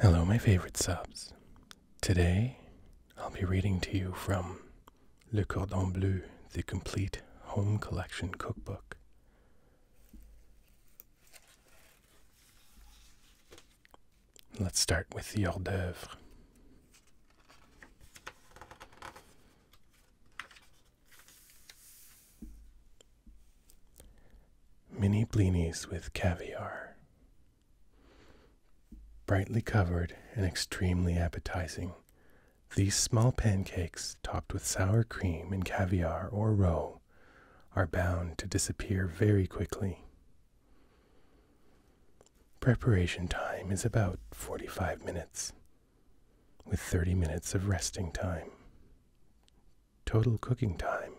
Hello, my favorite subs. Today, I'll be reading to you from Le Cordon Bleu, the complete home collection cookbook. Let's start with the hors d'oeuvre. Mini blinis with caviar, Brightly covered and extremely appetizing, these small pancakes, topped with sour cream and caviar or roe, are bound to disappear very quickly. Preparation time is about 45 minutes, with 30 minutes of resting time. Total cooking time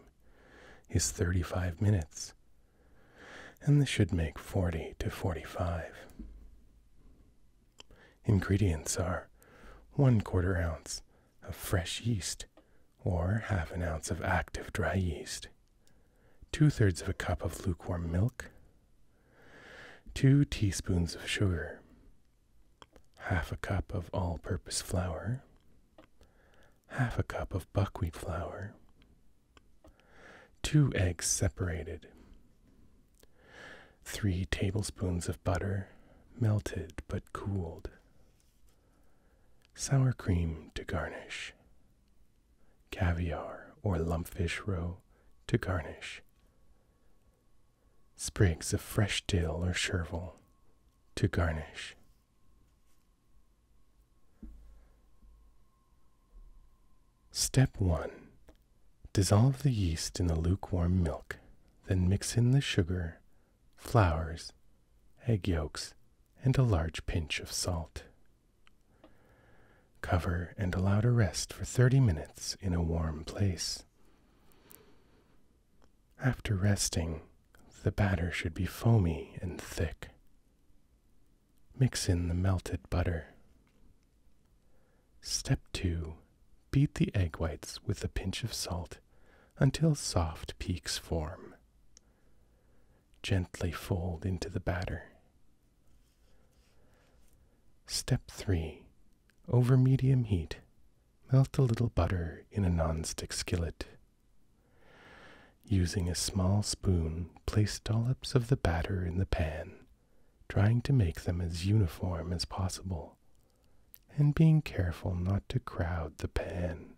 is 35 minutes, and this should make 40 to 45. Ingredients are 1 quarter ounce of fresh yeast or half an ounce of active dry yeast, 2 thirds of a cup of lukewarm milk, 2 teaspoons of sugar, half a cup of all purpose flour, half a cup of buckwheat flour, two eggs separated, three tablespoons of butter, melted but cooled, sour cream to garnish, caviar or lumpfish roe to garnish, sprigs of fresh dill or chervil to garnish. Step 1. Dissolve the yeast in the lukewarm milk, then mix in the sugar, flours, egg yolks, and a large pinch of salt. Cover and allow to rest for 30 minutes in a warm place. After resting, the batter should be foamy and thick. Mix in the melted butter. Step 2. Beat the egg whites with a pinch of salt until soft peaks form. Gently fold into the batter. Step 3. Over medium heat, melt a little butter in a nonstick skillet Using a small spoon, place dollops of the batter in the pan, trying to make them as uniform as possible, and being careful not to crowd the pan.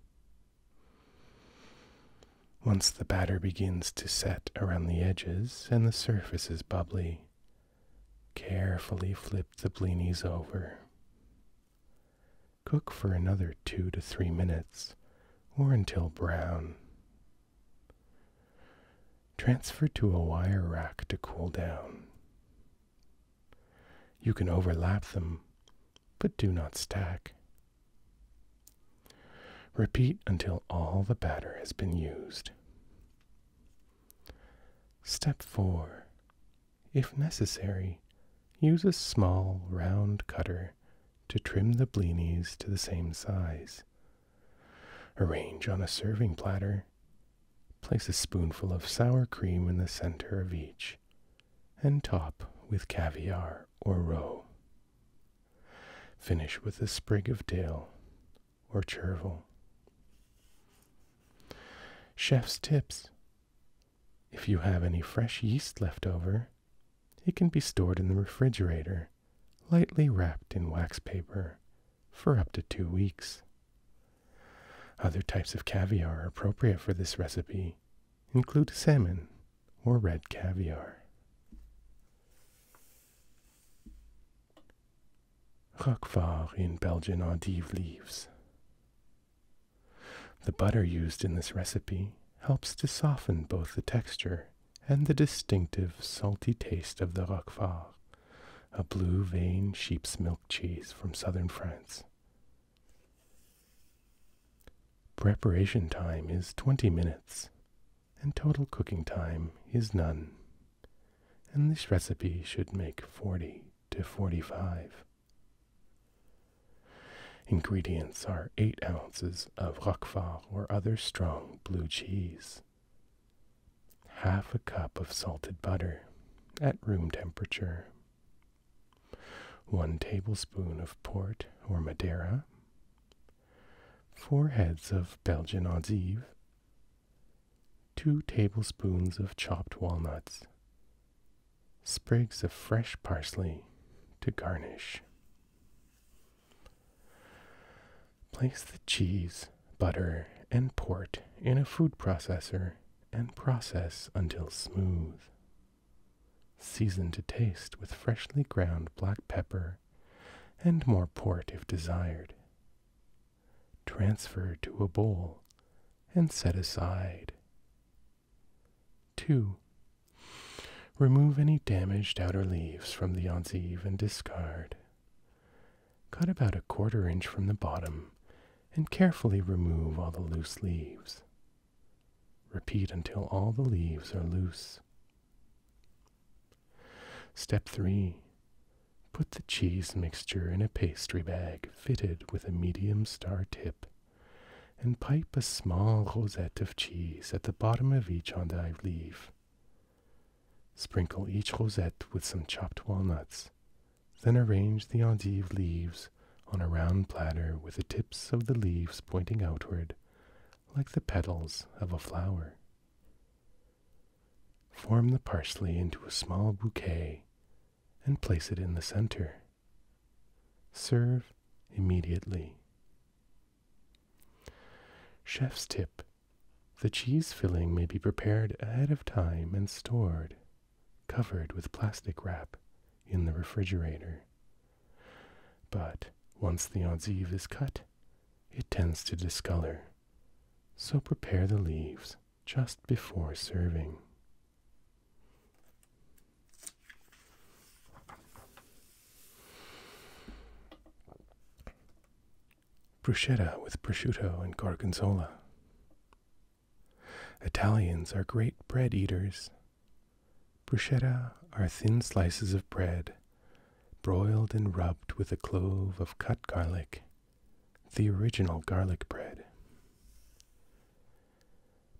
Once the batter begins to set around the edges and the surface is bubbly, carefully flip the blinis over. Cook for another two to three minutes or until brown. Transfer to a wire rack to cool down. You can overlap them, but do not stack. Repeat until all the batter has been used. Step 4. If necessary, use a small round cutter to trim the blinis to the same size. Arrange on a serving platter. Place a spoonful of sour cream in the center of each and top with caviar or roe. Finish with a sprig of dill or chervil. Chef's tips if you have any fresh yeast left over, it can be stored in the refrigerator, lightly wrapped in wax paper, for up to two weeks. Other types of caviar appropriate for this recipe include salmon or red caviar. Roquefort in Belgian endive leaves. The butter used in this recipe helps to soften both the texture and the distinctive salty taste of the Roquefort, a blue veined sheep's milk cheese from southern France. Preparation time is 20 minutes, and total cooking time is none. And this recipe should make 40 to 45. Ingredients are 8 ounces of Roquefort or other strong blue cheese, half a cup of salted butter at room temperature, 1 tablespoon of port or Madeira, 4 heads of Belgian endive, 2 tablespoons of chopped walnuts, sprigs of fresh parsley to garnish. Place the cheese, butter, and port in a food processor and process until smooth. Season to taste with freshly ground black pepper and more port if desired. Transfer to a bowl and set aside. 2. Remove any damaged outer leaves from the enzive and discard. Cut about a quarter inch from the bottom and carefully remove all the loose leaves. Repeat until all the leaves are loose. Step 3. Put the cheese mixture in a pastry bag fitted with a medium star tip and pipe a small rosette of cheese at the bottom of each endive leaf. Sprinkle each rosette with some chopped walnuts, then arrange the endive leaves on a round platter with the tips of the leaves pointing outward like the petals of a flower. Form the parsley into a small bouquet and place it in the center. Serve immediately. Chef's tip the cheese filling may be prepared ahead of time and stored, covered with plastic wrap, in the refrigerator. But once the enzive is cut, it tends to discolor, so prepare the leaves just before serving. Bruschetta with prosciutto and gorgonzola. Italians are great bread eaters. Bruschetta are thin slices of bread, broiled and rubbed with a clove of cut garlic, the original garlic bread.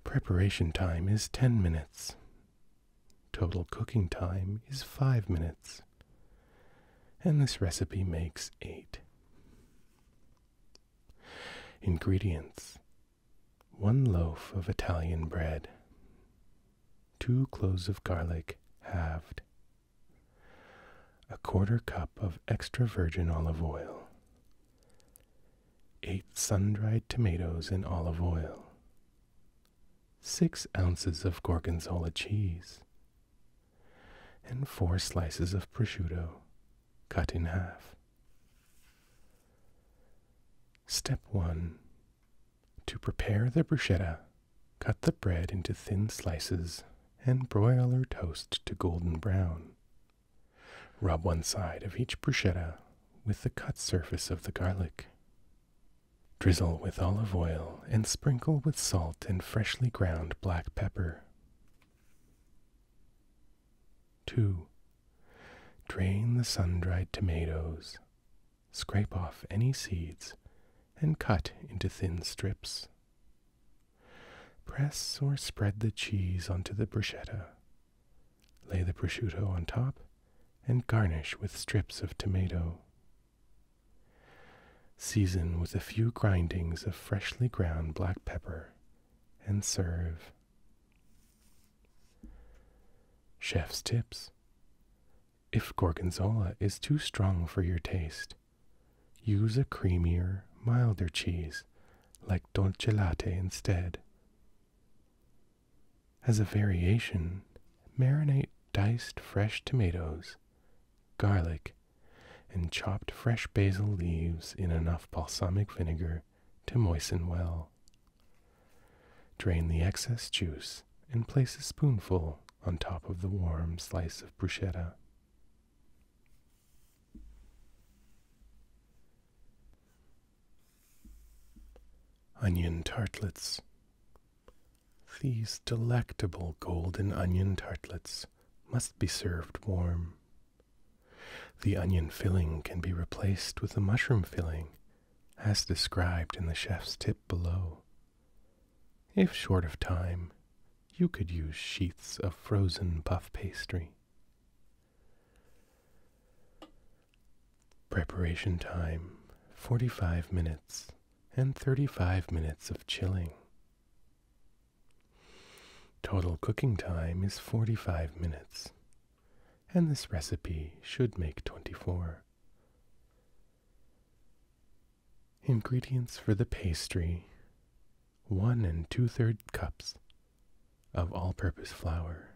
Preparation time is 10 minutes, Total cooking time is 5 minutes. And this recipe makes 8. Ingredients 1 loaf of Italian bread, 2 cloves of garlic halved, a quarter cup of extra virgin olive oil, 8 sun dried tomatoes in olive oil, six ounces of gorgonzola cheese, and four slices of prosciutto cut in half. Step 1. To prepare the bruschetta, cut the bread into thin slices and broil or toast to golden brown. Rub one side of each bruschetta with the cut surface of the garlic. Drizzle with olive oil and sprinkle with salt and freshly ground black pepper. 2. Drain the sun dried tomatoes, scrape off any seeds, and cut into thin strips. Press or spread the cheese onto the bruschetta, Lay the prosciutto on top and garnish with strips of tomato. Season with a few grindings of freshly ground black pepper and serve. Chef's tips. If gorgonzola is too strong for your taste, use a creamier, milder cheese like dolce latte instead. As a variation, marinate diced fresh tomatoes, garlic, and chopped fresh basil leaves in enough balsamic vinegar to moisten well. Drain the excess juice and place a spoonful on top of the warm slice of bruschetta. Onion tartlets. These delectable golden onion tartlets must be served warm. The onion filling can be replaced with a mushroom filling, as described in the chef's tip below. If short of time, you could use sheets of frozen puff pastry. Preparation time 45 minutes and 35 minutes of chilling. Total cooking time is 45 minutes, and this recipe should make 24. Ingredients for the pastry 1 and 2 3 cups of all purpose flour,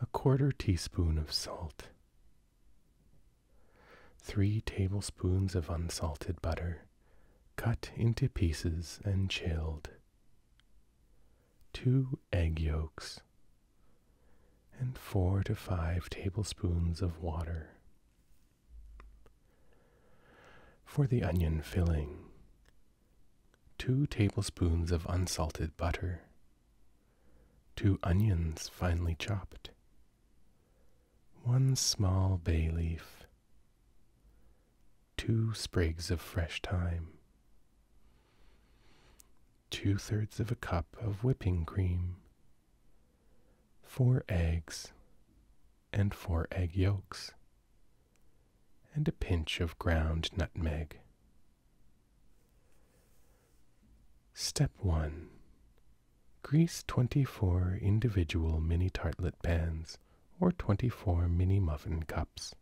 a quarter teaspoon of salt, three tablespoons of unsalted butter cut into pieces and chilled, two egg yolks, and four to five tablespoons of water. For the onion filling, two tablespoons of unsalted butter, two onions finely chopped, one small bay leaf, two sprigs of fresh thyme, two thirds of a cup of whipping cream, four eggs, and four egg yolks, and a pinch of ground nutmeg. Step 1. Grease 24 individual mini tartlet pans or 24 mini muffin cups.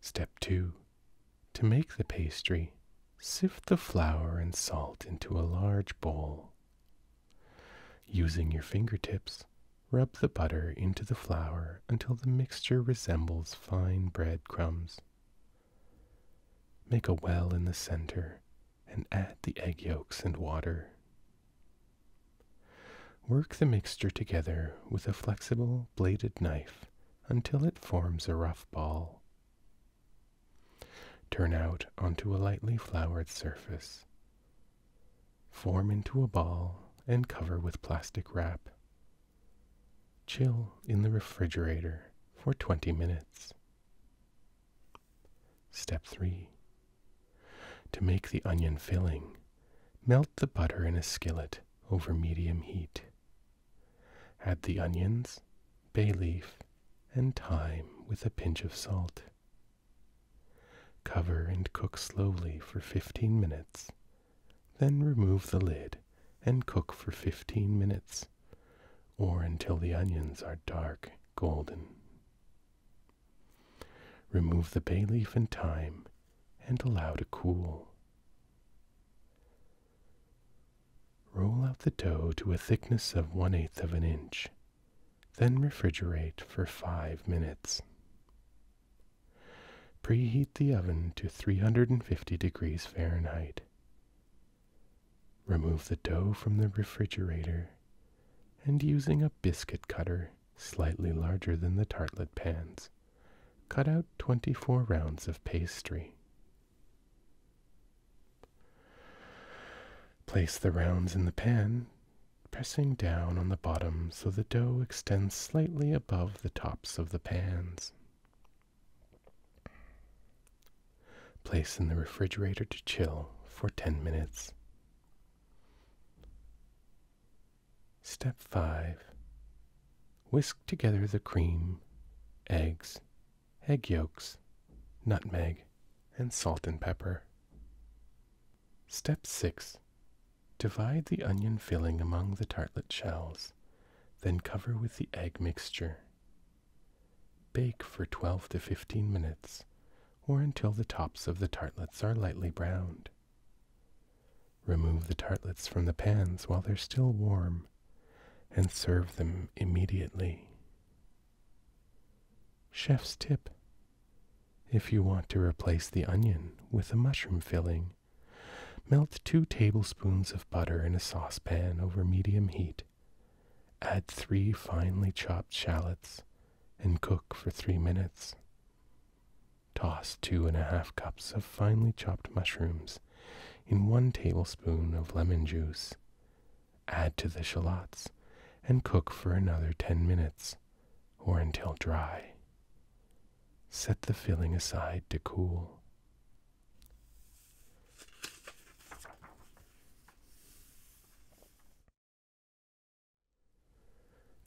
Step 2. To make the pastry, sift the flour and salt into a large bowl. Using your fingertips, rub the butter into the flour until the mixture resembles fine breadcrumbs. Make a well in the center and add the egg yolks and water. Work the mixture together with a flexible bladed knife until it forms a rough ball. Turn out onto a lightly floured surface. Form into a ball and cover with plastic wrap, Chill in the refrigerator for 20 minutes. Step 3. To make the onion filling, melt the butter in a skillet over medium heat. Add the onions, bay leaf, and thyme with a pinch of salt. Cover and cook slowly for 15 minutes then remove the lid and cook for 15 minutes or until the onions are dark golden. Remove the bay leaf and thyme and allow to cool. Roll out the dough to a thickness of 1 8 of an inch, then refrigerate for 5 minutes. Preheat the oven to 350 degrees Fahrenheit. Remove the dough from the refrigerator and using a biscuit cutter slightly larger than the tartlet pans, cut out 24 rounds of pastry. Place the rounds in the pan, pressing down on the bottom so the dough extends slightly above the tops of the pans. Place in the refrigerator to chill for 10 minutes. Step 5 Whisk together the cream, eggs, egg yolks, nutmeg, and salt and pepper. Step 6 Divide the onion filling among the tartlet shells, then cover with the egg mixture. Bake for 12 to 15 minutes or until the tops of the tartlets are lightly browned. Remove the tartlets from the pans while they're still warm and serve them immediately. Chef's tip. If you want to replace the onion with a mushroom filling, Melt 2 tablespoons of butter in a saucepan over medium heat. Add 3 finely chopped shallots and cook for 3 minutes. Toss 2.5 cups of finely chopped mushrooms in 1 tablespoon of lemon juice. Add to the shallots and cook for another 10 minutes or until dry. Set the filling aside to cool.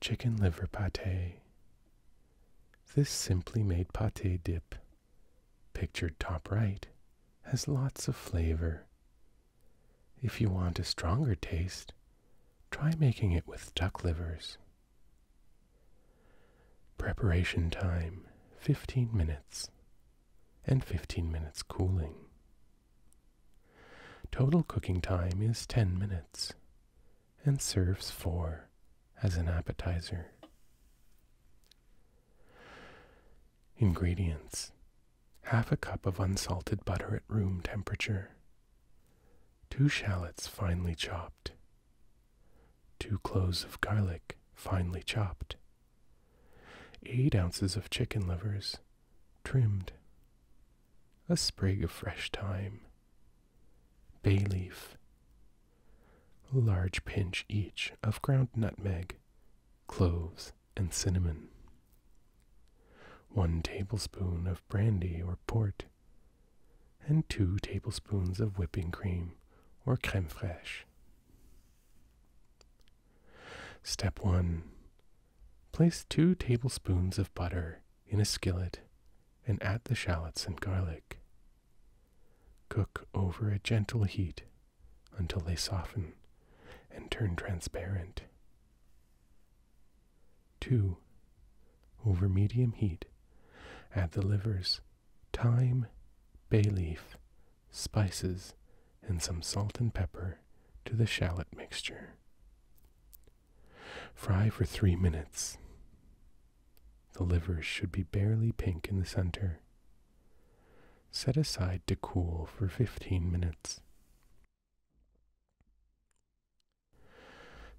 Chicken liver pate. This simply made pate dip, pictured top right, has lots of flavor. If you want a stronger taste, try making it with duck livers. Preparation time 15 minutes and 15 minutes cooling. Total cooking time is 10 minutes and serves 4 as an appetizer. Ingredients Half a cup of unsalted butter at room temperature, 2 shallots finely chopped, 2 cloves of garlic, finely chopped, 8 ounces of chicken livers, trimmed, a sprig of fresh thyme, bay leaf, a large pinch each of ground nutmeg, cloves, and cinnamon, 1 tablespoon of brandy or port, and 2 tablespoons of whipping cream or creme fraiche. Step 1. Place 2 tablespoons of butter in a skillet and add the shallots and garlic. Cook over a gentle heat until they soften and turn transparent. 2. Over medium heat, add the livers thyme, bay leaf, spices, and some salt and pepper to the shallot mixture. Fry for three minutes. The liver should be barely pink in the center. Set aside to cool for 15 minutes.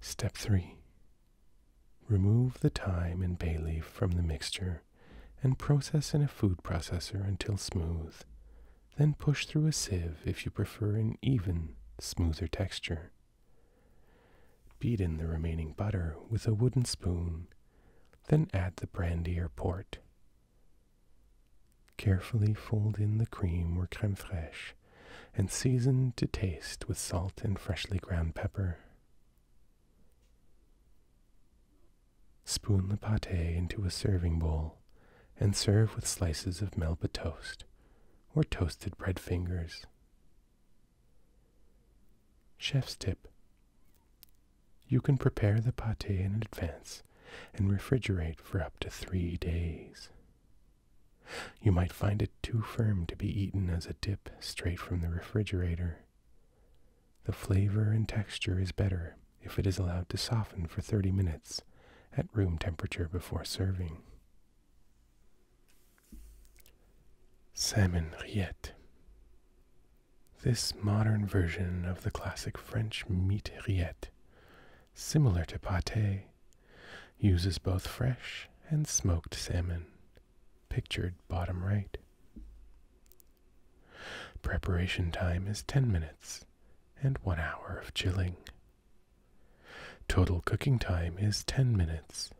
Step 3 Remove the thyme and bay leaf from the mixture and process in a food processor until smooth. Then push through a sieve if you prefer an even, smoother texture. Beat in the remaining butter with a wooden spoon, then add the brandy or port. Carefully fold in the cream or creme fraiche and season to taste with salt and freshly ground pepper. Spoon the pate into a serving bowl and serve with slices of Melba toast or toasted bread fingers. Chef's tip You can prepare the pate in advance and refrigerate for up to three days. You might find it too firm to be eaten as a dip straight from the refrigerator. The flavor and texture is better if it is allowed to soften for 30 minutes at room temperature before serving. Salmon rillette. This modern version of the classic French meat rillette, similar to pate, uses both fresh and smoked salmon pictured bottom right. Preparation time is 10 minutes and 1 hour of chilling. Total cooking time is 10 minutes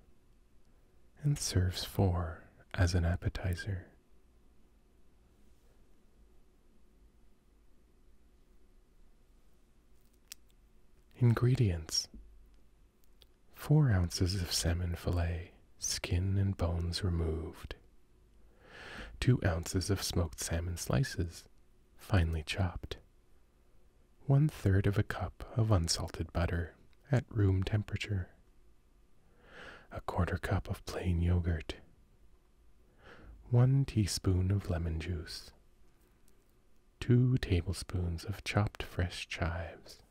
and serves 4 as an appetizer. Ingredients 4 ounces of salmon fillet, skin and bones removed. 2 ounces of smoked salmon slices, finely chopped. One third of a cup of unsalted butter at room temperature. A quarter cup of plain yogurt. One teaspoon of lemon juice. Two tablespoons of chopped fresh chives.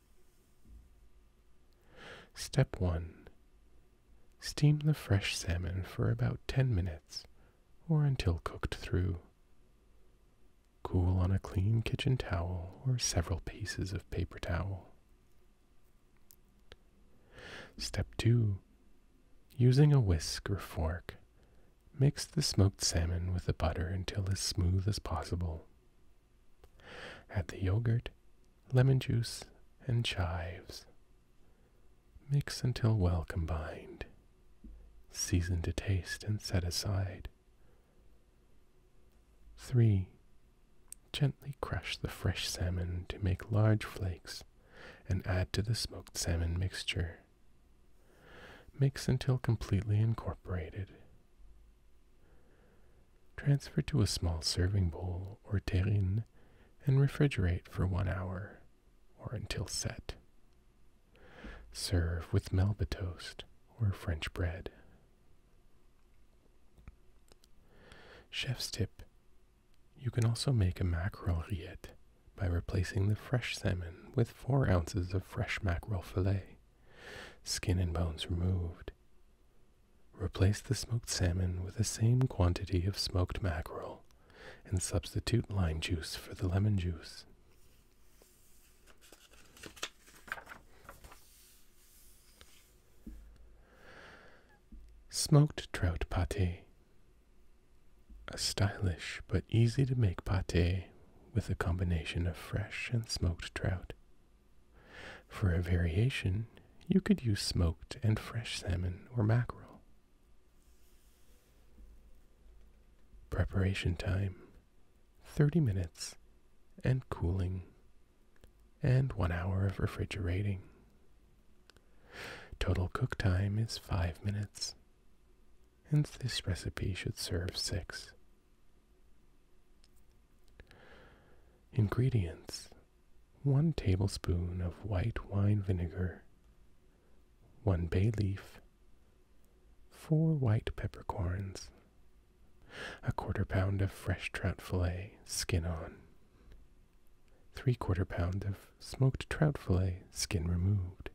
Step 1. Steam the fresh salmon for about 10 minutes or until cooked through. Cool on a clean kitchen towel or several pieces of paper towel. Step 2. Using a whisk or fork, mix the smoked salmon with the butter until as smooth as possible. Add the yogurt, lemon juice, and chives. Mix until well combined. Season to taste and set aside. 3. Gently crush the fresh salmon to make large flakes and add to the smoked salmon mixture. Mix until completely incorporated. Transfer to a small serving bowl or terrine and refrigerate for one hour or until set. Serve with Melba toast or French bread. Chef's tip You can also make a mackerel rillette by replacing the fresh salmon with 4 ounces of fresh mackerel fillet. Skin and bones removed. Replace the smoked salmon with the same quantity of smoked mackerel and substitute lime juice for the lemon juice. Smoked trout pate. A stylish but easy to make pate with a combination of fresh and smoked trout, for a variation, you could use smoked and fresh salmon or mackerel. Preparation time 30 minutes and cooling, and 1 hour of refrigerating. Total cook time is 5 minutes, and this recipe should serve 6 Ingredients 1 tablespoon of white wine vinegar, 1 bay leaf, 4 white peppercorns, a quarter pound of fresh trout fillet, skin on, 3 quarter pound of smoked trout fillet, skin removed,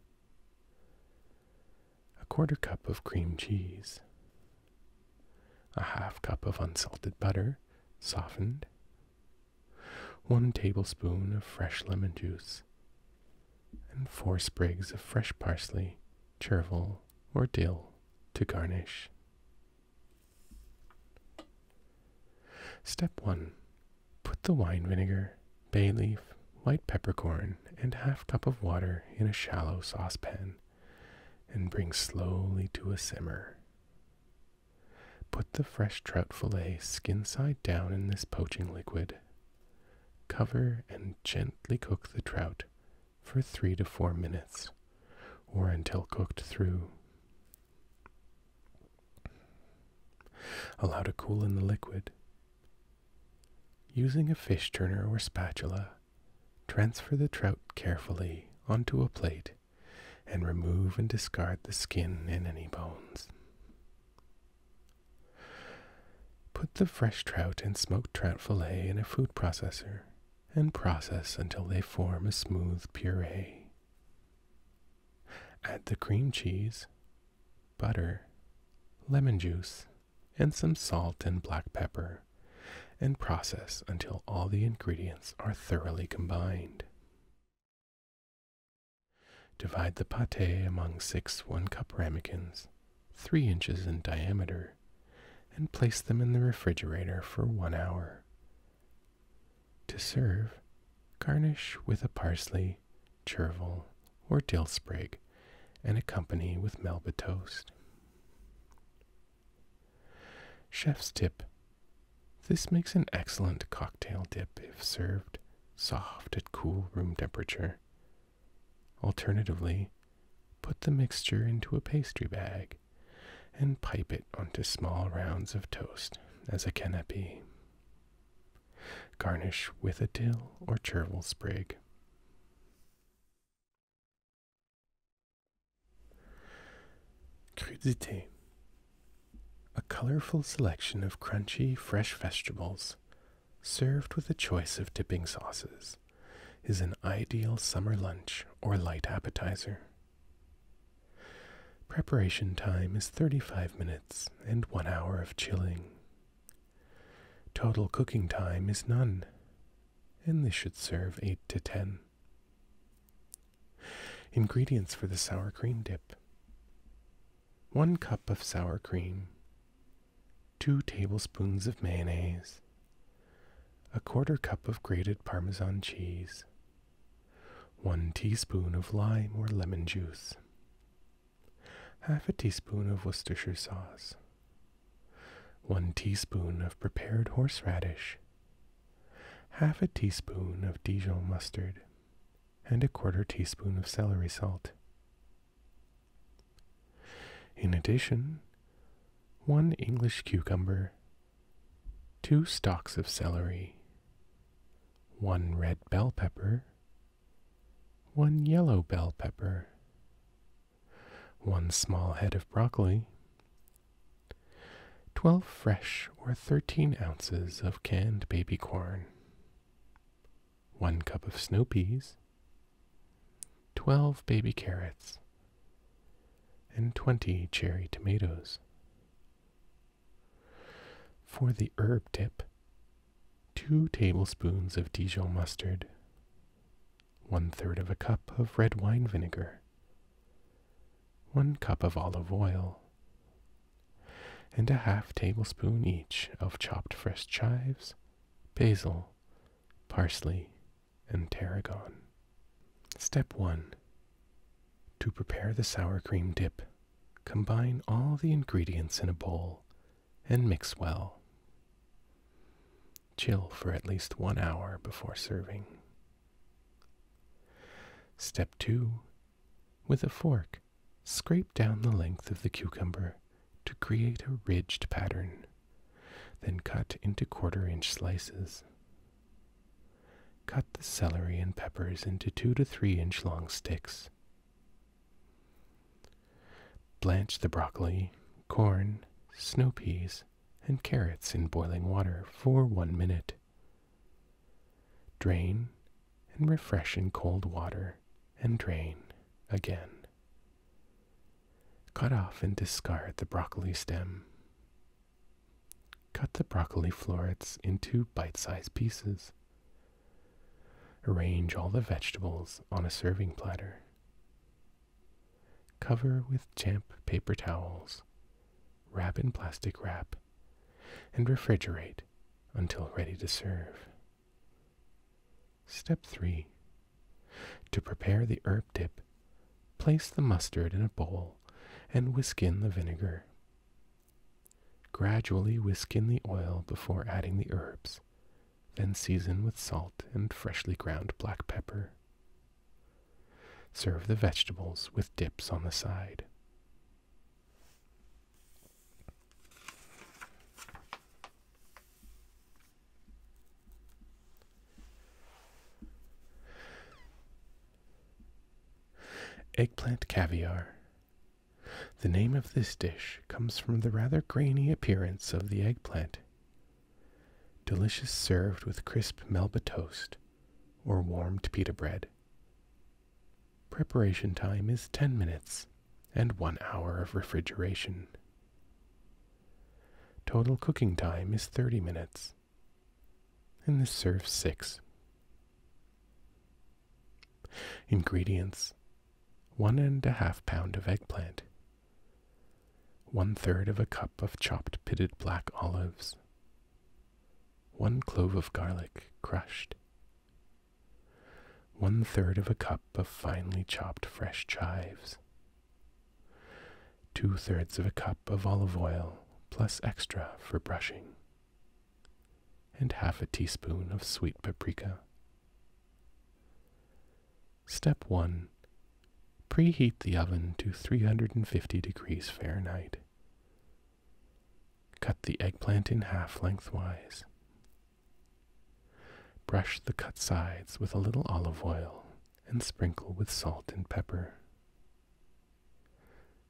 a quarter cup of cream cheese a half cup of unsalted butter, softened, one tablespoon of fresh lemon juice, and four sprigs of fresh parsley, chervil, or dill to garnish. Step 1. Put the wine vinegar, bay leaf, white peppercorn, and half cup of water in a shallow saucepan and bring slowly to a simmer. Put the fresh trout fillet skin side down in this poaching liquid. Cover and gently cook the trout for three to four minutes or until cooked through. Allow to cool in the liquid. Using a fish turner or spatula, Transfer the trout carefully onto a plate and remove and discard the skin and any bones. Put the fresh trout and smoked trout fillet in a food processor and process until they form a smooth puree. Add the cream cheese, butter, lemon juice, and some salt and black pepper and process until all the ingredients are thoroughly combined. Divide the pate among six one cup ramekins, three inches in diameter, and place them in the refrigerator for one hour. To serve, garnish with a parsley, chervil, or dill sprig and accompany with melba toast. Chef's tip This makes an excellent cocktail dip if served soft at cool room temperature. Alternatively, put the mixture into a pastry bag and pipe it onto small rounds of toast as a canapé. Garnish with a dill or chervil sprig. Crudité. A colorful selection of crunchy, fresh vegetables, served with a choice of dipping sauces, is an ideal summer lunch or light appetizer. Preparation time is 35 minutes and one hour of chilling. Total cooking time is none, and this should serve 8 to 10. Ingredients for the sour cream dip 1 cup of sour cream, 2 tablespoons of mayonnaise, a quarter cup of grated Parmesan cheese, 1 teaspoon of lime or lemon juice, half a teaspoon of Worcestershire sauce, 1 teaspoon of prepared horseradish, half a teaspoon of Dijon mustard, and a quarter teaspoon of celery salt. In addition, 1 English cucumber, 2 stalks of celery, 1 red bell pepper, 1 yellow bell pepper, one small head of broccoli, 12 fresh or 13 ounces of canned baby corn, 1 cup of snow peas, 12 baby carrots, and 20 cherry tomatoes. For the herb dip, 2 tablespoons of Dijon mustard, one third of a cup of red wine vinegar, one cup of olive oil, and a half tablespoon each of chopped fresh chives, basil, parsley, and tarragon. Step 1. To prepare the sour cream dip, combine all the ingredients in a bowl and mix well. Chill for at least one hour before serving. Step 2. With a fork, scrape down the length of the cucumber to create a ridged pattern, then cut into quarter inch slices. Cut the celery and peppers into two to three inch long sticks. Blanch the broccoli, corn, snow peas, and carrots in boiling water for one minute. Drain and refresh in cold water and drain again. Cut off and discard the broccoli stem. Cut the broccoli florets into bite sized pieces. Arrange all the vegetables on a serving platter. Cover with damp paper towels, wrap in plastic wrap, and refrigerate until ready to serve. Step 3. To prepare the herb dip, place the mustard in a bowl and whisk in the vinegar. Gradually whisk in the oil before adding the herbs, then season with salt and freshly ground black pepper. Serve the vegetables with dips on the side. Eggplant caviar. The name of this dish comes from the rather grainy appearance of the eggplant. Delicious served with crisp Melba toast or warmed pita bread. Preparation time is 10 minutes and 1 hour of refrigeration. Total cooking time is 30 minutes. And this serves 6. Ingredients: one and a half pound of eggplant, one third of a cup of chopped pitted black olives, one clove of garlic crushed, one third of a cup of finely chopped fresh chives, two thirds of a cup of olive oil plus extra for brushing, and half a teaspoon of sweet paprika. Step 1 Preheat the oven to 350 degrees Fahrenheit. Cut the eggplant in half lengthwise. Brush the cut sides with a little olive oil and sprinkle with salt and pepper.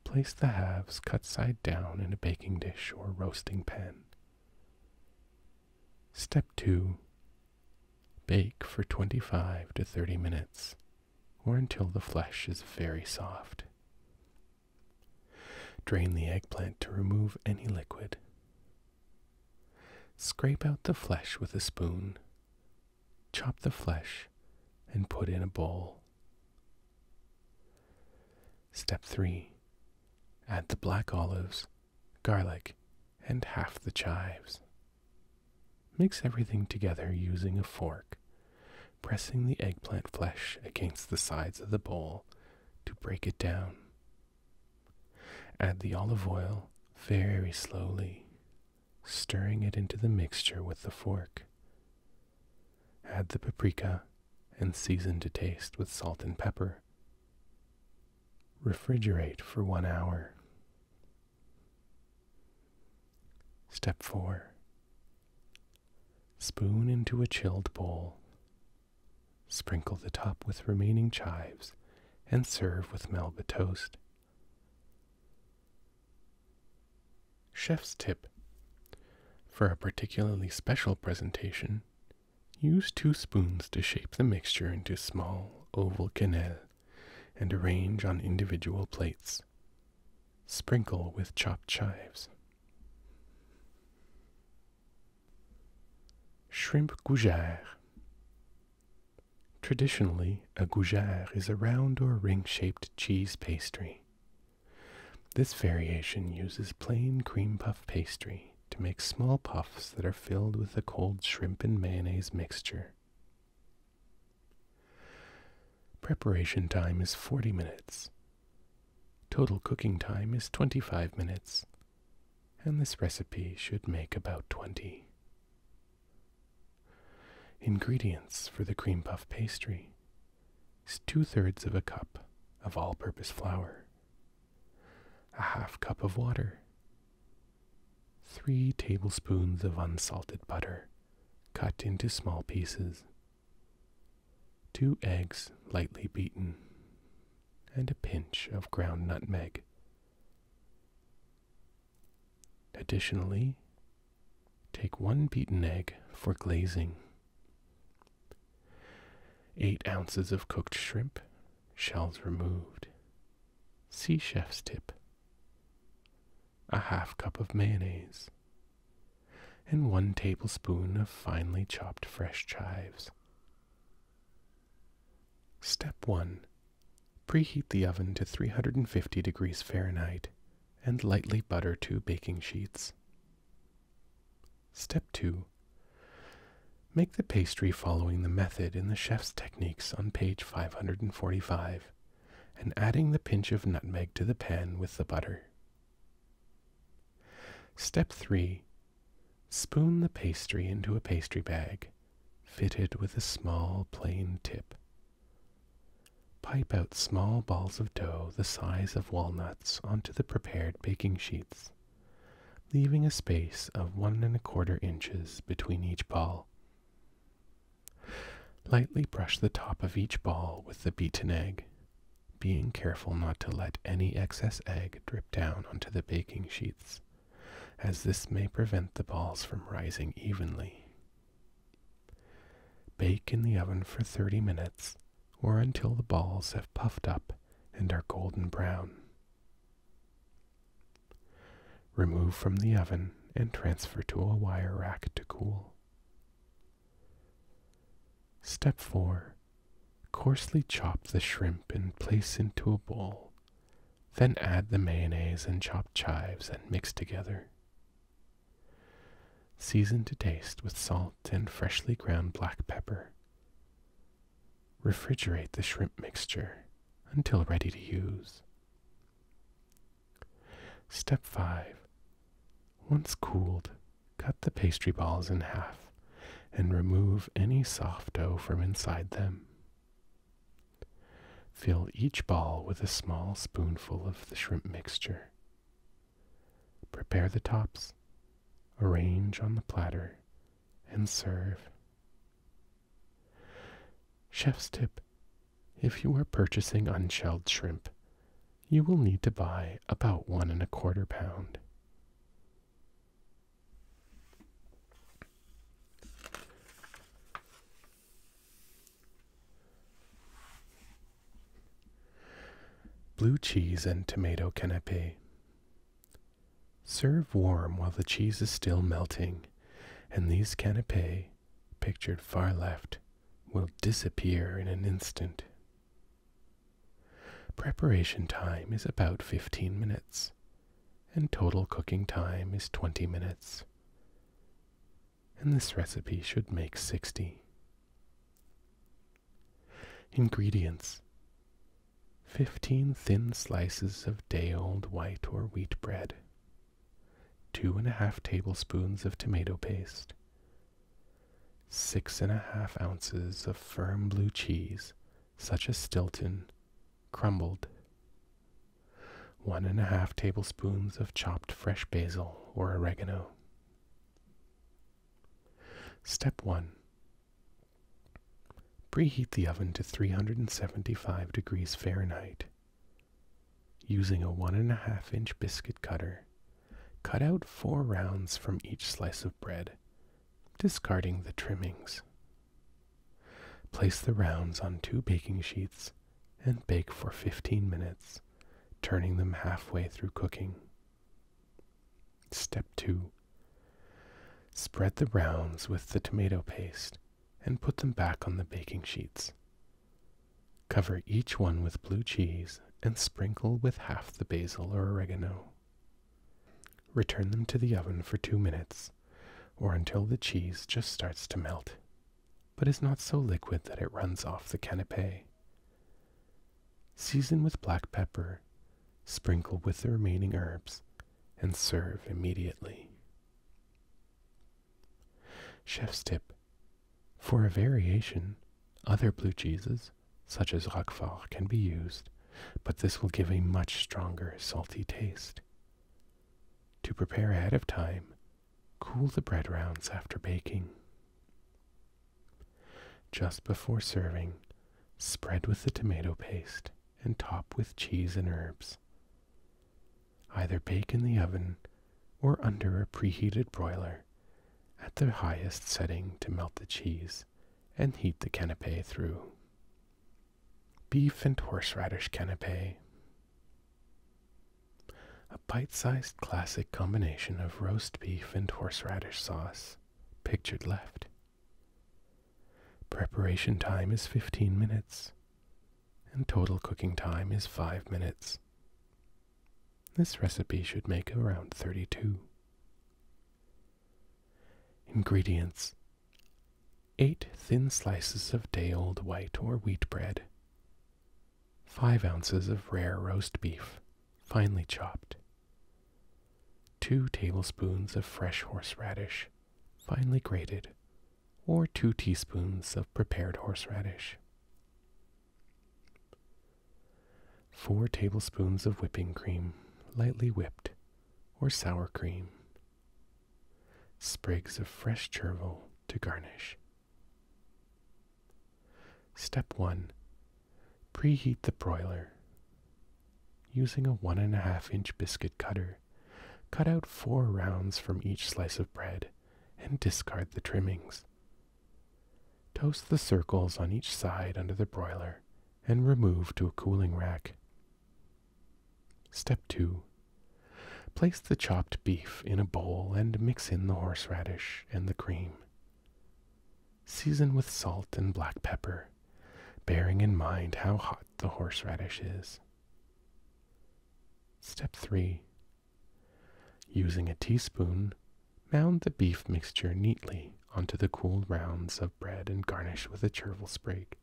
Place the halves cut side down in a baking dish or roasting pan. Step 2. Bake for 25 to 30 minutes or until the flesh is very soft. Drain the eggplant to remove any liquid. Scrape out the flesh with a spoon. Chop the flesh and put in a bowl. Step 3. Add the black olives, garlic, and half the chives. Mix everything together using a fork, pressing the eggplant flesh against the sides of the bowl to break it down. Add the olive oil very slowly, stirring it into the mixture with the fork. Add the paprika and season to taste with salt and pepper. Refrigerate for one hour Step 4 Spoon into a chilled bowl. Sprinkle the top with remaining chives and serve with Melba toast. Chef's tip For a particularly special presentation, use two spoons to shape the mixture into small oval cannelle and arrange on individual plates. Sprinkle with chopped chives. Shrimp gougère. Traditionally, a gougère is a round or ring-shaped cheese pastry. This variation uses plain cream puff pastry to make small puffs that are filled with a cold shrimp and mayonnaise mixture. Preparation time is 40 minutes. Total cooking time is 25 minutes, and this recipe should make about 20. Ingredients for the cream puff pastry two thirds of a cup of all purpose flour, a half cup of water, 3 tablespoons of unsalted butter, cut into small pieces, 2 eggs lightly beaten, and a pinch of ground nutmeg. Additionally, take one beaten egg for glazing. 8 ounces of cooked shrimp, shells removed. Sea chef's tip a half cup of mayonnaise, and one tablespoon of finely chopped fresh chives. Step 1. Preheat the oven to 350 degrees Fahrenheit and lightly butter two baking sheets. Step 2. Make the pastry following the method in the chef's techniques on page 545 and adding the pinch of nutmeg to the pan with the butter. Step 3. Spoon the pastry into a pastry bag, fitted with a small plain tip. Pipe out small balls of dough the size of walnuts onto the prepared baking sheets, leaving a space of one and a quarter inches between each ball. Lightly brush the top of each ball with the beaten egg, being careful not to let any excess egg drip down onto the baking sheets, as this may prevent the balls from rising evenly. Bake in the oven for 30 minutes or until the balls have puffed up and are golden brown. Remove from the oven and transfer to a wire rack to cool. Step 4. Coarsely chop the shrimp and place into a bowl. Then add the mayonnaise and chopped chives and mix together. Season to taste with salt and freshly ground black pepper. Refrigerate the shrimp mixture until ready to use. Step 5. Once cooled, cut the pastry balls in half and remove any soft dough from inside them. Fill each ball with a small spoonful of the shrimp mixture. Prepare the tops, arrange on the platter, and serve. Chef's tip if you are purchasing unshelled shrimp, you will need to buy about one and a quarter pound. Blue cheese and tomato canapé. Serve warm while the cheese is still melting, and these canapé, pictured far left, will disappear in an instant. Preparation time is about 15 minutes, and total cooking time is 20 minutes. And this recipe should make 60. Ingredients 15 thin slices of day old white or wheat bread, two and a half tablespoons of tomato paste, six and a half ounces of firm blue cheese, such as Stilton, crumbled, one and a half tablespoons of chopped fresh basil or oregano. Step 1. Preheat the oven to 375 degrees Fahrenheit Using a one and a half inch biscuit cutter, cut out four rounds from each slice of bread, discarding the trimmings. Place the rounds on two baking sheets and bake for 15 minutes, turning them halfway through cooking. Step 2. Spread the rounds with the tomato paste and put them back on the baking sheets. Cover each one with blue cheese and sprinkle with half the basil or oregano. Return them to the oven for two minutes or until the cheese just starts to melt, but is not so liquid that it runs off the canapé. Season with black pepper, sprinkle with the remaining herbs, and serve immediately. Chef's tip for a variation, other blue cheeses, such as Roquefort, can be used, but this will give a much stronger salty taste. To prepare ahead of time, cool the bread rounds after baking. Just before serving, spread with the tomato paste and top with cheese and herbs either bake in the oven or under a preheated broiler at the highest setting to melt the cheese and heat the canapé through. Beef and horseradish canapé. A bite sized classic combination of roast beef and horseradish sauce, pictured left. Preparation time is 15 minutes and total cooking time is 5 minutes. This recipe should make around 32. Ingredients 8 thin slices of day old white or wheat bread, 5 ounces of rare roast beef, finely chopped, 2 tablespoons of fresh horseradish, finely grated, or 2 teaspoons of prepared horseradish, 4 tablespoons of whipping cream, lightly whipped, or sour cream. Sprigs of fresh chervil to garnish. Step 1. Preheat the broiler. Using a 1.5 inch biscuit cutter, cut out 4 rounds from each slice of bread and discard the trimmings. Toast the circles on each side under the broiler and remove to a cooling rack. Step 2. Place the chopped beef in a bowl and mix in the horseradish and the cream. Season with salt and black pepper, bearing in mind how hot the horseradish is. Step 3. Using a teaspoon, mound the beef mixture neatly onto the cool rounds of bread and garnish with a chervil sprig.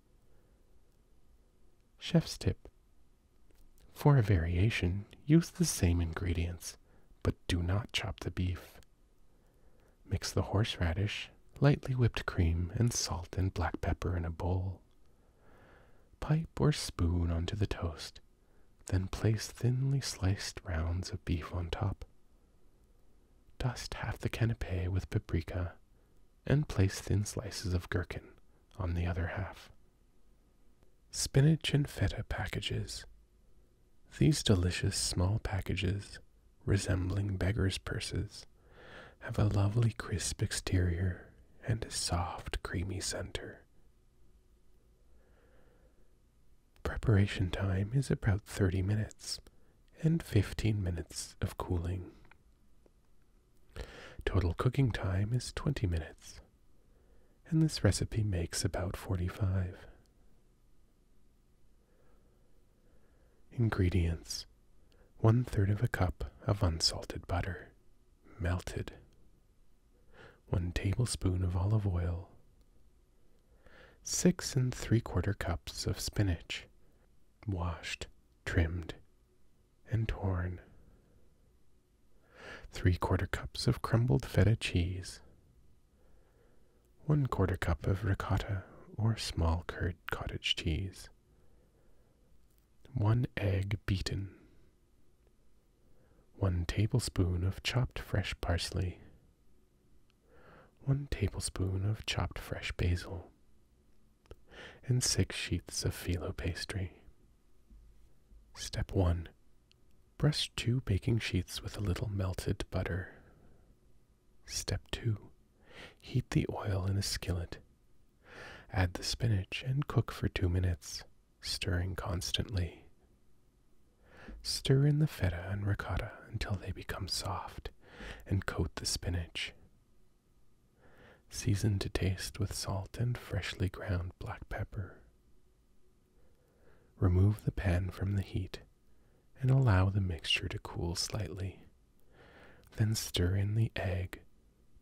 Chef's tip. For a variation, use the same ingredients, but do not chop the beef. Mix the horseradish, lightly whipped cream, and salt and black pepper in a bowl. Pipe or spoon onto the toast, then place thinly sliced rounds of beef on top. Dust half the canapé with paprika and place thin slices of gherkin on the other half. Spinach and feta packages. These delicious small packages, resembling beggar's purses, have a lovely crisp exterior and a soft, creamy center Preparation time is about 30 minutes and 15 minutes of cooling. Total cooking time is 20 minutes, and this recipe makes about 45. Ingredients 1 third of a cup of unsalted butter, melted, 1 tablespoon of olive oil, 6 and 3 quarter cups of spinach, washed, trimmed, and torn, 3 quarter cups of crumbled feta cheese, 1 quarter cup of ricotta or small curd cottage cheese, 1 egg beaten 1 tablespoon of chopped fresh parsley, 1 tablespoon of chopped fresh basil, and 6 sheets of phyllo pastry. Step 1. Brush two baking sheets with a little melted butter. Step 2. Heat the oil in a skillet. Add the spinach and cook for 2 minutes stirring constantly. Stir in the feta and ricotta until they become soft and coat the spinach. Season to taste with salt and freshly ground black pepper. Remove the pan from the heat and allow the mixture to cool slightly. Then stir in the egg,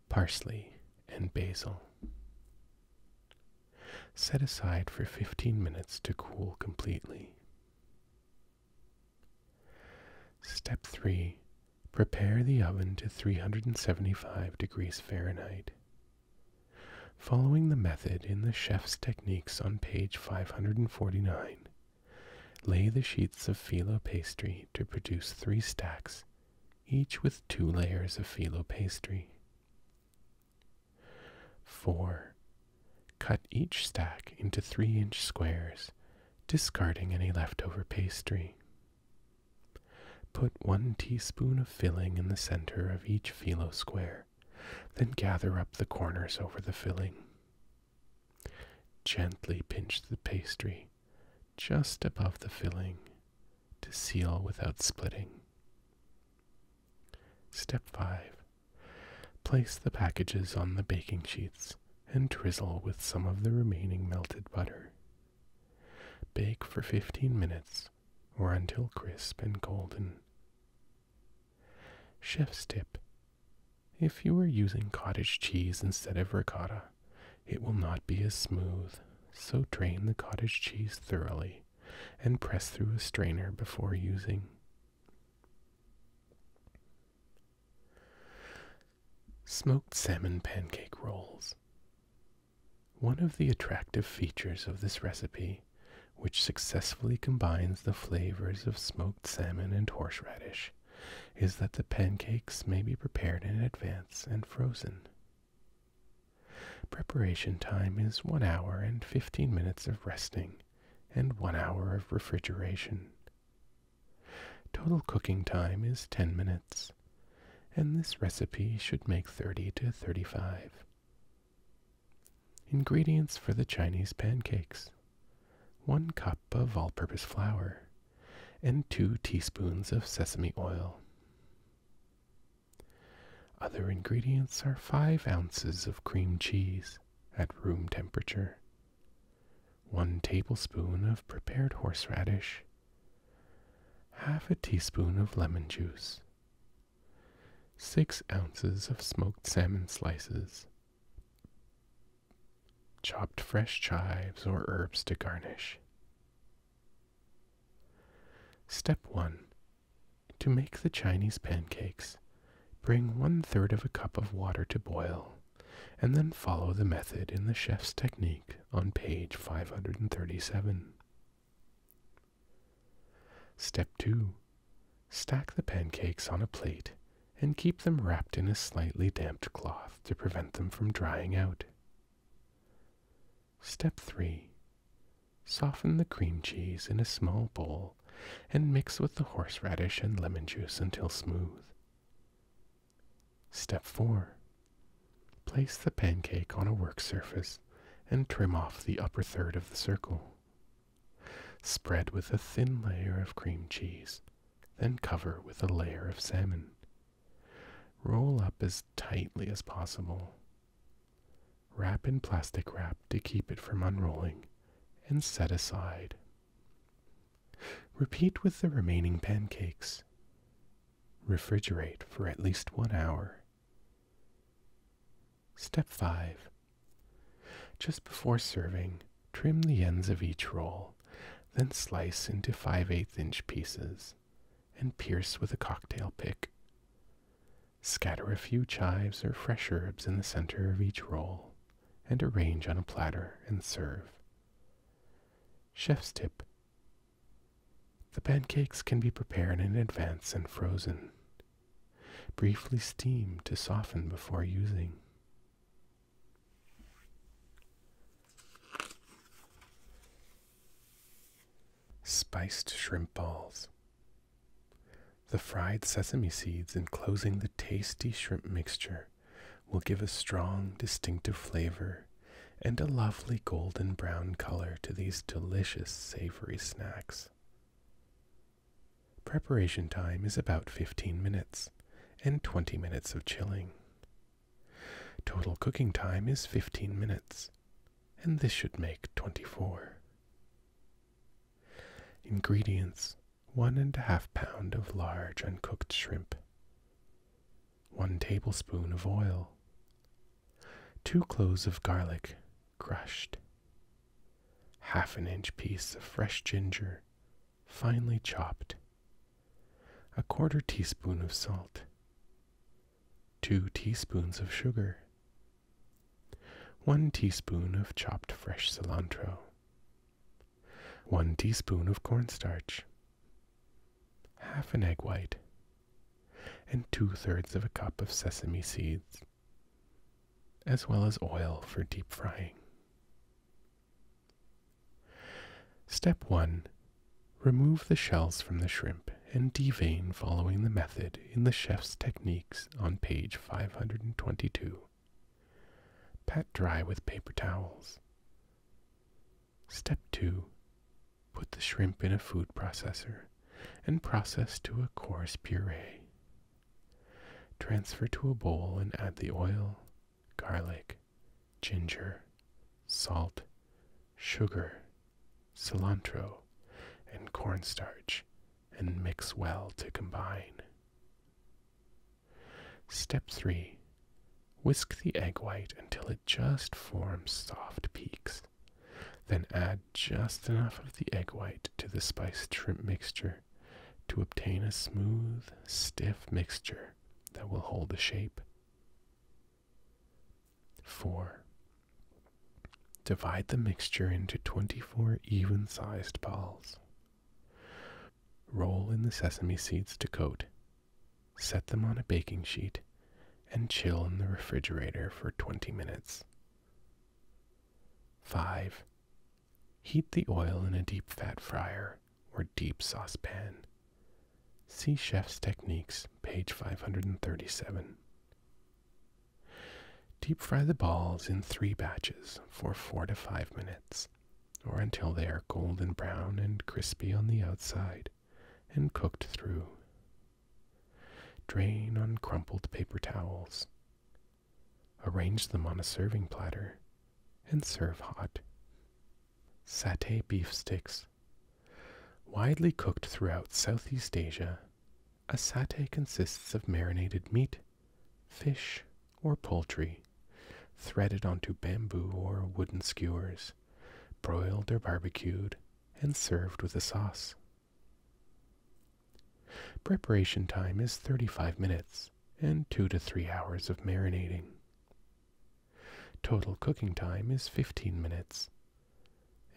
parsley, and basil. Set aside for 15 minutes to cool completely. Step 3. Prepare the oven to 375 degrees Fahrenheit. Following the method in the Chef's Techniques on page 549, lay the sheets of filo pastry to produce three stacks, each with two layers of filo pastry. 4. Cut each stack into 3 inch squares, discarding any leftover pastry. Put 1 teaspoon of filling in the center of each filo square, then gather up the corners over the filling. Gently pinch the pastry just above the filling to seal without splitting. Step 5. Place the packages on the baking sheets and drizzle with some of the remaining melted butter. Bake for 15 minutes or until crisp and golden. Chef's tip. If you are using cottage cheese instead of ricotta, it will not be as smooth, so drain the cottage cheese thoroughly and press through a strainer before using. Smoked salmon pancake rolls. One of the attractive features of this recipe, which successfully combines the flavors of smoked salmon and horseradish, is that the pancakes may be prepared in advance and frozen. Preparation time is 1 hour and 15 minutes of resting and 1 hour of refrigeration. Total cooking time is 10 minutes, and this recipe should make 30 to 35. Ingredients for the Chinese pancakes 1 cup of all purpose flour and 2 teaspoons of sesame oil. Other ingredients are 5 ounces of cream cheese at room temperature, 1 tablespoon of prepared horseradish, half a teaspoon of lemon juice, 6 ounces of smoked salmon slices, chopped fresh chives or herbs to garnish. Step 1 to make the Chinese pancakes, bring one third of a cup of water to boil, and then follow the method in the chef's technique on page 537. Step 2. Stack the pancakes on a plate and keep them wrapped in a slightly damp cloth to prevent them from drying out. Step 3. Soften the cream cheese in a small bowl and mix with the horseradish and lemon juice until smooth. Step 4. Place the pancake on a work surface and trim off the upper third of the circle. Spread with a thin layer of cream cheese, then cover with a layer of salmon. Roll up as tightly as possible. Wrap in plastic wrap to keep it from unrolling and set aside. Repeat with the remaining pancakes. Refrigerate for at least one hour. Step 5. Just before serving, trim the ends of each roll, then slice into 5 8 inch pieces and pierce with a cocktail pick. Scatter a few chives or fresh herbs in the center of each roll and arrange on a platter and serve. Chef's tip The pancakes can be prepared in advance and frozen. Briefly steam to soften before using spiced shrimp balls. The fried sesame seeds enclosing the tasty shrimp mixture will give a strong, distinctive flavor and a lovely golden brown color to these delicious savory snacks. Preparation time is about 15 minutes and 20 minutes of chilling. Total cooking time is 15 minutes, and this should make 24. Ingredients 1 and a half of large uncooked shrimp, 1 tablespoon of oil, 2 cloves of garlic crushed, half an inch piece of fresh ginger finely chopped, a quarter teaspoon of salt, 2 teaspoons of sugar, 1 teaspoon of chopped fresh cilantro, 1 teaspoon of cornstarch, half an egg white, and two thirds of a cup of sesame seeds, as well as oil for deep frying. Step 1. Remove the shells from the shrimp and devein following the method in the chef's techniques on page 522. Pat dry with paper towels. Step 2. Put the shrimp in a food processor and process to a coarse puree. Transfer to a bowl and add the oil, garlic, ginger, salt, sugar, cilantro, and cornstarch and mix well to combine. Step 3. Whisk the egg white until it just forms soft peaks. Then add just enough of the egg white to the spiced shrimp mixture to obtain a smooth, stiff mixture that will hold the shape. 4. Divide the mixture into 24 even sized balls. Roll in the sesame seeds to coat, set them on a baking sheet, and chill in the refrigerator for 20 minutes. 5. Heat the oil in a deep fat fryer or deep saucepan. See Chef's Techniques, page 537. Deep fry the balls in three batches for four to five minutes, or until they are golden brown and crispy on the outside and cooked through. Drain on crumpled paper towels. Arrange them on a serving platter and serve hot. Satay beef sticks. Widely cooked throughout Southeast Asia, a satay consists of marinated meat, fish, or poultry, threaded onto bamboo or wooden skewers, broiled or barbecued, and served with a sauce. Preparation time is 35 minutes and 2 to 3 hours of marinating. Total cooking time is 15 minutes,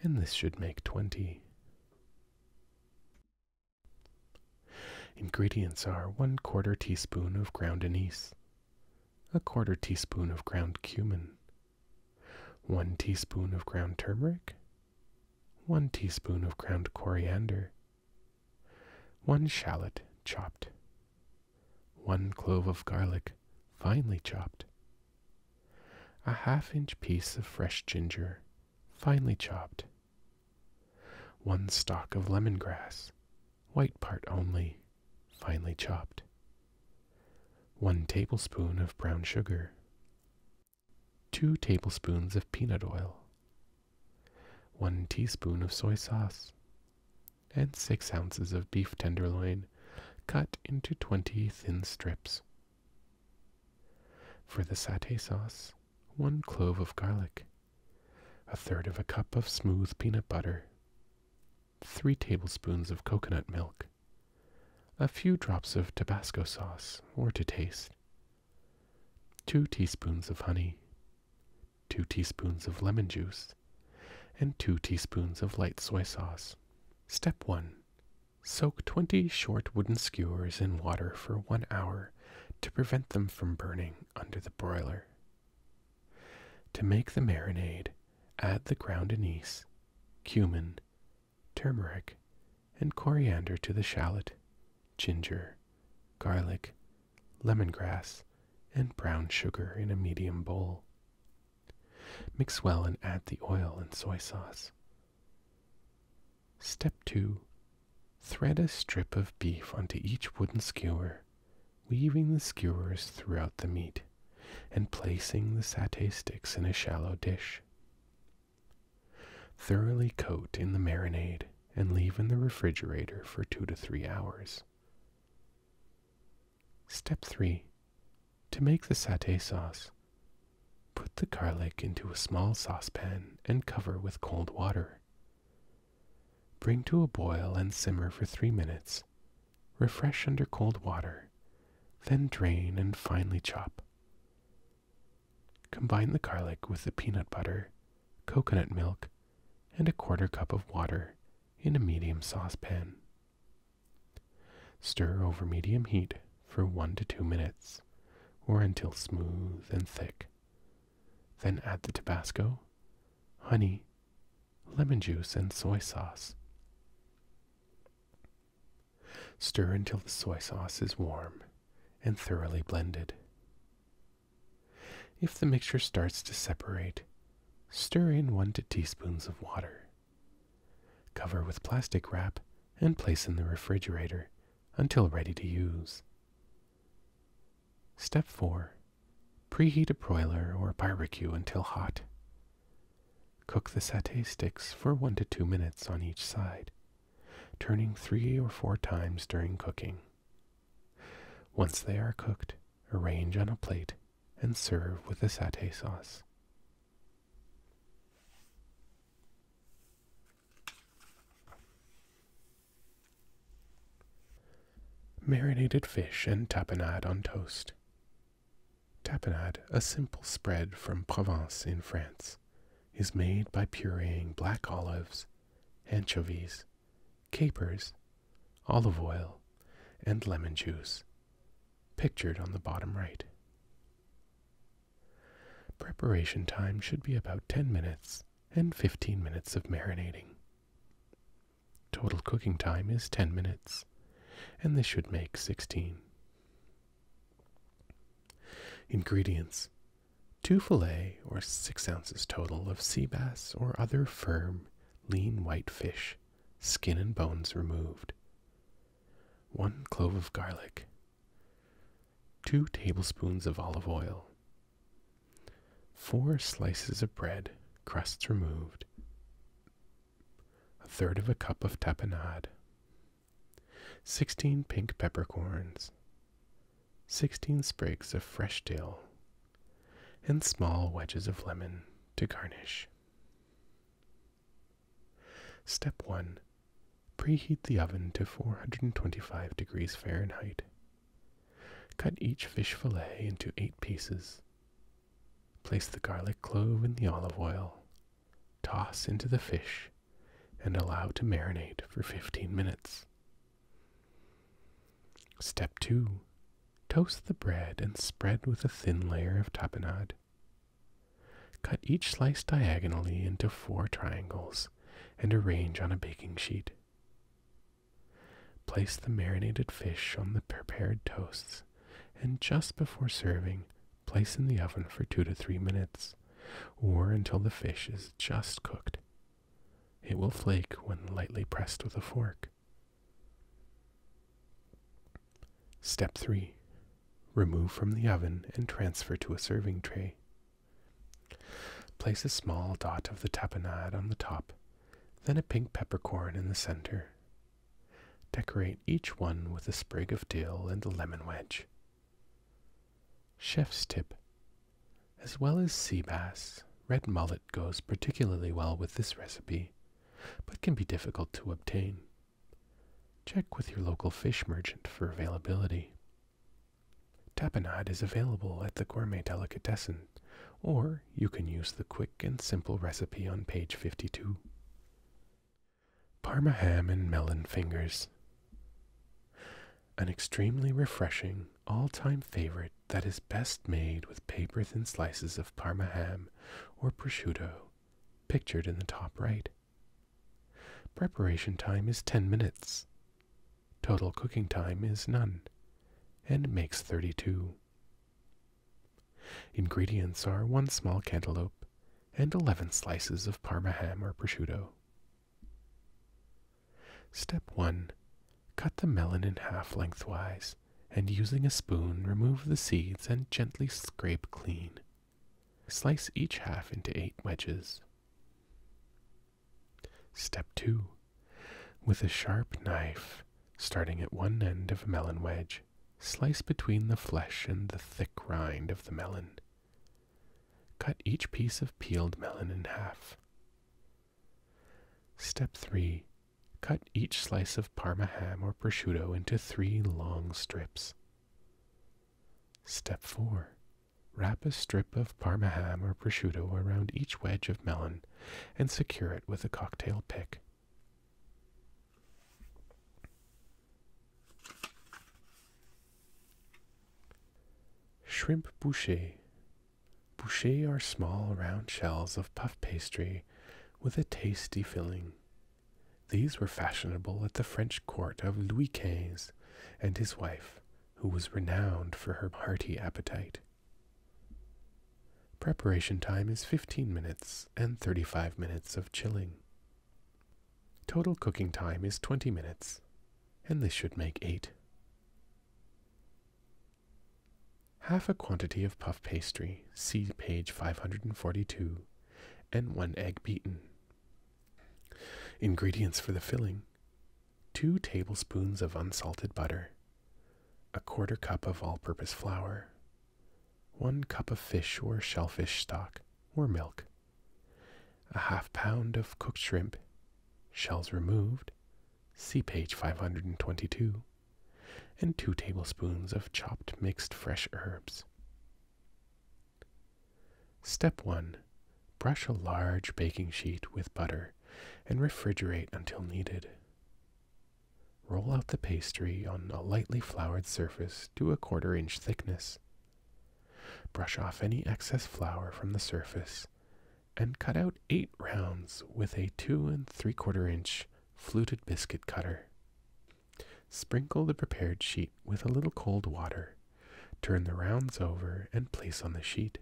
and this should make 20. Ingredients are 1 quarter teaspoon of ground anise, a quarter teaspoon of ground cumin, 1 teaspoon of ground turmeric, 1 teaspoon of ground coriander, 1 shallot chopped, 1 clove of garlic finely chopped, a half inch piece of fresh ginger, finely chopped, one stalk of lemongrass, white part only, finely chopped, one tablespoon of brown sugar, two tablespoons of peanut oil, one teaspoon of soy sauce, and six ounces of beef tenderloin cut into twenty thin strips for the satay sauce, one clove of garlic, a third of a cup of smooth peanut butter, three tablespoons of coconut milk, a few drops of Tabasco sauce or to taste, two teaspoons of honey, two teaspoons of lemon juice, and two teaspoons of light soy sauce. Step 1. Soak 20 short wooden skewers in water for one hour to prevent them from burning under the broiler. To make the marinade, add the ground anise, cumin, turmeric, and coriander to the shallot, ginger, garlic, lemongrass, and brown sugar in a medium bowl. Mix well and add the oil and soy sauce, Step 2. Thread a strip of beef onto each wooden skewer, weaving the skewers throughout the meat and placing the satay sticks in a shallow dish. Thoroughly coat in the marinade and leave in the refrigerator for 2 to 3 hours. Step 3. To make the satay sauce, Put the garlic into a small saucepan and cover with cold water. Bring to a boil and simmer for three minutes. Refresh under cold water, then drain and finely chop. Combine the garlic with the peanut butter, coconut milk, and a quarter cup of water in a medium saucepan. Stir over medium heat for one to two minutes or until smooth and thick. Then add the Tabasco, honey, lemon juice, and soy sauce. Stir until the soy sauce is warm and thoroughly blended. If the mixture starts to separate, stir in 1 to teaspoons of water. Cover with plastic wrap and place in the refrigerator until ready to use. Step 4. Preheat a broiler or barbecue until hot. Cook the satay sticks for 1 to 2 minutes on each side, turning 3 or 4 times during cooking. Once they are cooked, arrange on a plate and serve with the satay sauce. Marinated fish and tapenade on toast. Tapenade, a simple spread from Provence in France, is made by pureeing black olives, anchovies, capers, olive oil, and lemon juice, pictured on the bottom right. Preparation time should be about 10 minutes and 15 minutes of marinating. Total cooking time is 10 minutes, and this should make 16. Ingredients 2 fillet or 6 ounces total of sea bass or other firm, lean white fish, skin and bones removed. 1 clove of garlic, 2 tablespoons of olive oil, 4 slices of bread, crusts removed, a third of a cup of tapenade, 16 pink peppercorns, 16 sprigs of fresh dill, and small wedges of lemon to garnish. Step 1. Preheat the oven to 425 degrees Fahrenheit. Cut each fish fillet into 8 pieces. Place the garlic clove in the olive oil. Toss into the fish and allow to marinate for 15 minutes. Step 2. Toast the bread and spread with a thin layer of tapenade. Cut each slice diagonally into four triangles and arrange on a baking sheet. Place the marinated fish on the prepared toasts and just before serving, place in the oven for 2 to 3 minutes or until the fish is just cooked. It will flake when lightly pressed with a fork. Step 3. Remove from the oven and transfer to a serving tray. Place a small dot of the tapenade on the top, then a pink peppercorn in the center. Decorate each one with a sprig of dill and a lemon wedge. Chef's tip. As well as sea bass, red mullet goes particularly well with this recipe, but can be difficult to obtain. Check with your local fish merchant for availability. Tapenade is available at the Gourmet Delicatessen, or you can use the quick and simple recipe on page 52. Parma ham and melon fingers. An extremely refreshing, all time favorite that is best made with paper thin slices of Parma ham or prosciutto, pictured in the top right. Preparation time is 10 minutes. Total cooking time is none and makes 32. Ingredients are 1 small cantaloupe and 11 slices of parma ham or prosciutto. Step 1. Cut the melon in half lengthwise and using a spoon remove the seeds and gently scrape clean. Slice each half into eight wedges. Step 2. With a sharp knife, starting at one end of a melon wedge, slice between the flesh and the thick rind of the melon. Cut each piece of peeled melon in half. Step 3. Cut each slice of parma ham or prosciutto into three long strips. Step 4. Wrap a strip of parma ham or prosciutto around each wedge of melon and secure it with a cocktail pick. Shrimp boucher. Boucher are small round shells of puff pastry with a tasty filling. These were fashionable at the French court of Louis XV and his wife, who was renowned for her hearty appetite. Preparation time is 15 minutes and 35 minutes of chilling. Total cooking time is 20 minutes, and this should make 8. Half a quantity of puff pastry, see page 542, and one egg beaten. Ingredients for the filling 2 tablespoons of unsalted butter, a quarter cup of all purpose flour, 1 cup of fish or shellfish stock or milk, a half pound of cooked shrimp, shells removed, see page 522, and 2 tablespoons of chopped mixed fresh herbs. Step 1. Brush a large baking sheet with butter and refrigerate until needed. Roll out the pastry on a lightly floured surface to a quarter inch thickness. Brush off any excess flour from the surface and cut out eight rounds with a two and three quarter inch fluted biscuit cutter. Sprinkle the prepared sheet with a little cold water Turn the rounds over and place on the sheet.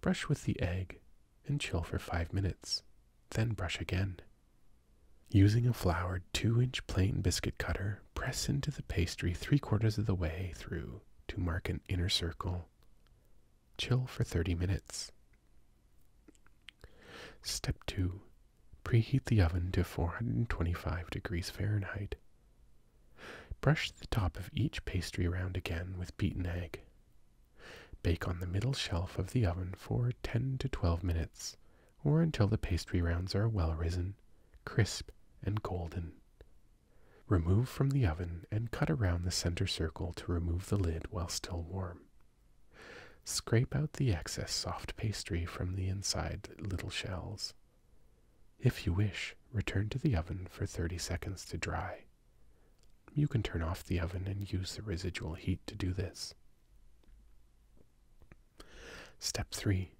Brush with the egg and chill for 5 minutes, then brush again. Using a floured 2 inch plain biscuit cutter, press into the pastry three quarters of the way through to mark an inner circle. Chill for 30 minutes. Step 2. Preheat the oven to 425 degrees Fahrenheit. Brush the top of each pastry round again with beaten egg. Bake on the middle shelf of the oven for 10 to 12 minutes, or until the pastry rounds are well risen, crisp, and golden. Remove from the oven and cut around the center circle to remove the lid while still warm. Scrape out the excess soft pastry from the inside little shells. If you wish, return to the oven for 30 seconds to dry. You can turn off the oven and use the residual heat to do this. Step 3.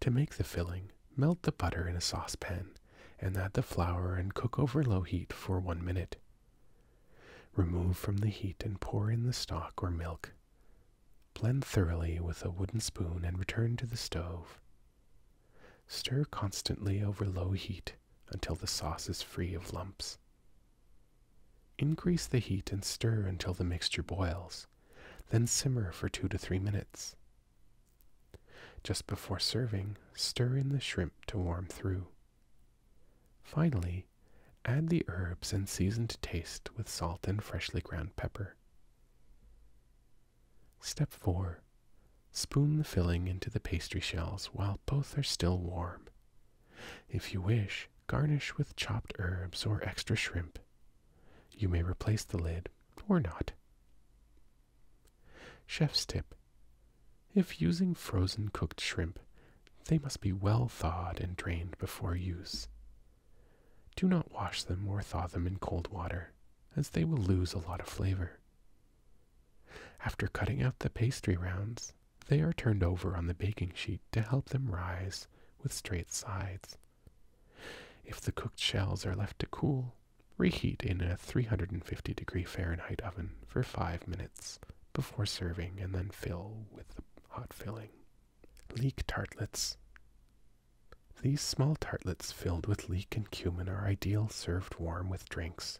To make the filling, melt the butter in a saucepan and add the flour and cook over low heat for 1 minute. Remove from the heat and pour in the stock or milk. Blend thoroughly with a wooden spoon and return to the stove. Stir constantly over low heat until the sauce is free of lumps. Increase the heat and stir until the mixture boils, then simmer for two to three minutes. Just before serving, stir in the shrimp to warm through. Finally, add the herbs and season to taste with salt and freshly ground pepper. Step 4. Spoon the filling into the pastry shells while both are still warm. If you wish, garnish with chopped herbs or extra shrimp. You may replace the lid or not. Chef's tip. If using frozen cooked shrimp, they must be well thawed and drained before use. Do not wash them or thaw them in cold water, as they will lose a lot of flavor. After cutting out the pastry rounds, they are turned over on the baking sheet to help them rise with straight sides. If the cooked shells are left to cool, reheat in a 350 degree Fahrenheit oven for 5 minutes before serving and then fill with the hot filling. Leek tartlets. These small tartlets filled with leek and cumin are ideal served warm with drinks.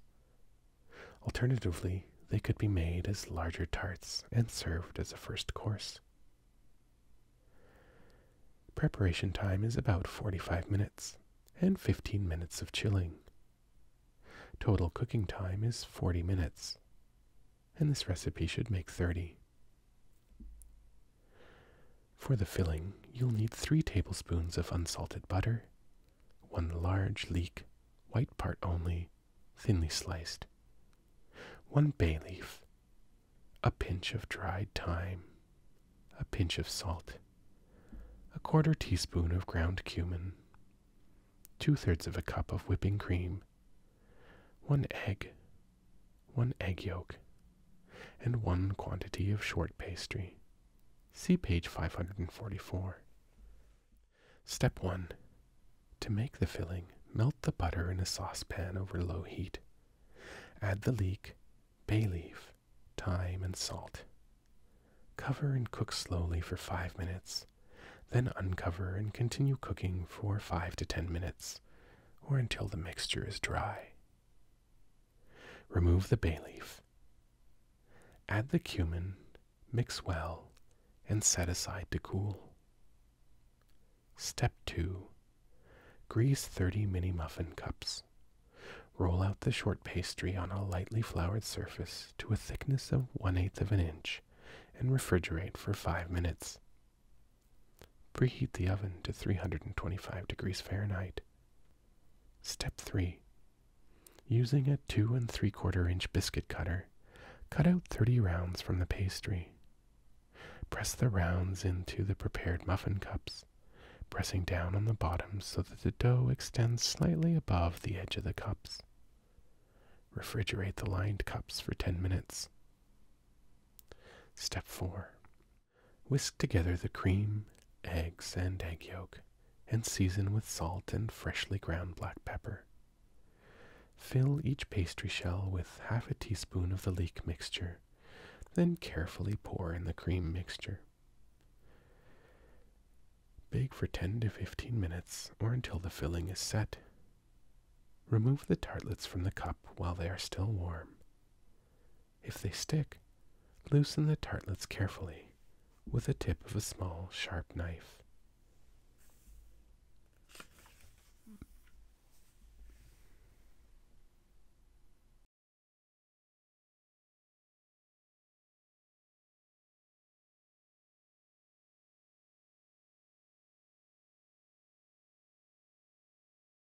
Alternatively, they could be made as larger tarts and served as a first course. Preparation time is about 45 minutes and 15 minutes of chilling. Total cooking time is 40 minutes, and this recipe should make 30. For the filling, you'll need three tablespoons of unsalted butter, one large leek, white part only, thinly sliced, one bay leaf, a pinch of dried thyme, a pinch of salt, a quarter teaspoon of ground cumin, two thirds of a cup of whipping cream, one egg, one egg yolk, and one quantity of short pastry. See page 544. Step 1. To make the filling, melt the butter in a saucepan over low heat. Add the leek, bay leaf, thyme, and salt. Cover and cook slowly for 5 minutes, then uncover and continue cooking for 5 to 10 minutes, or until the mixture is dry. Remove the bay leaf. Add the cumin, mix well, and set aside to cool. Step 2. Grease 30 mini muffin cups. Roll out the short pastry on a lightly floured surface to a thickness of 1 8 of an inch and refrigerate for 5 minutes. Preheat the oven to 325 degrees Fahrenheit. Step 3. Using a 2 and 3 quarter inch biscuit cutter, cut out 30 rounds from the pastry. Press the rounds into the prepared muffin cups, pressing down on the bottoms so that the dough extends slightly above the edge of the cups. Refrigerate the lined cups for 10 minutes. Step 4. Whisk together the cream, eggs, and egg yolk, and season with salt and freshly ground black pepper. Fill each pastry shell with half a teaspoon of the leek mixture, then carefully pour in the cream mixture. Bake for 10 to 15 minutes or until the filling is set. Remove the tartlets from the cup while they are still warm. If they stick, loosen the tartlets carefully with the tip of a small, sharp knife.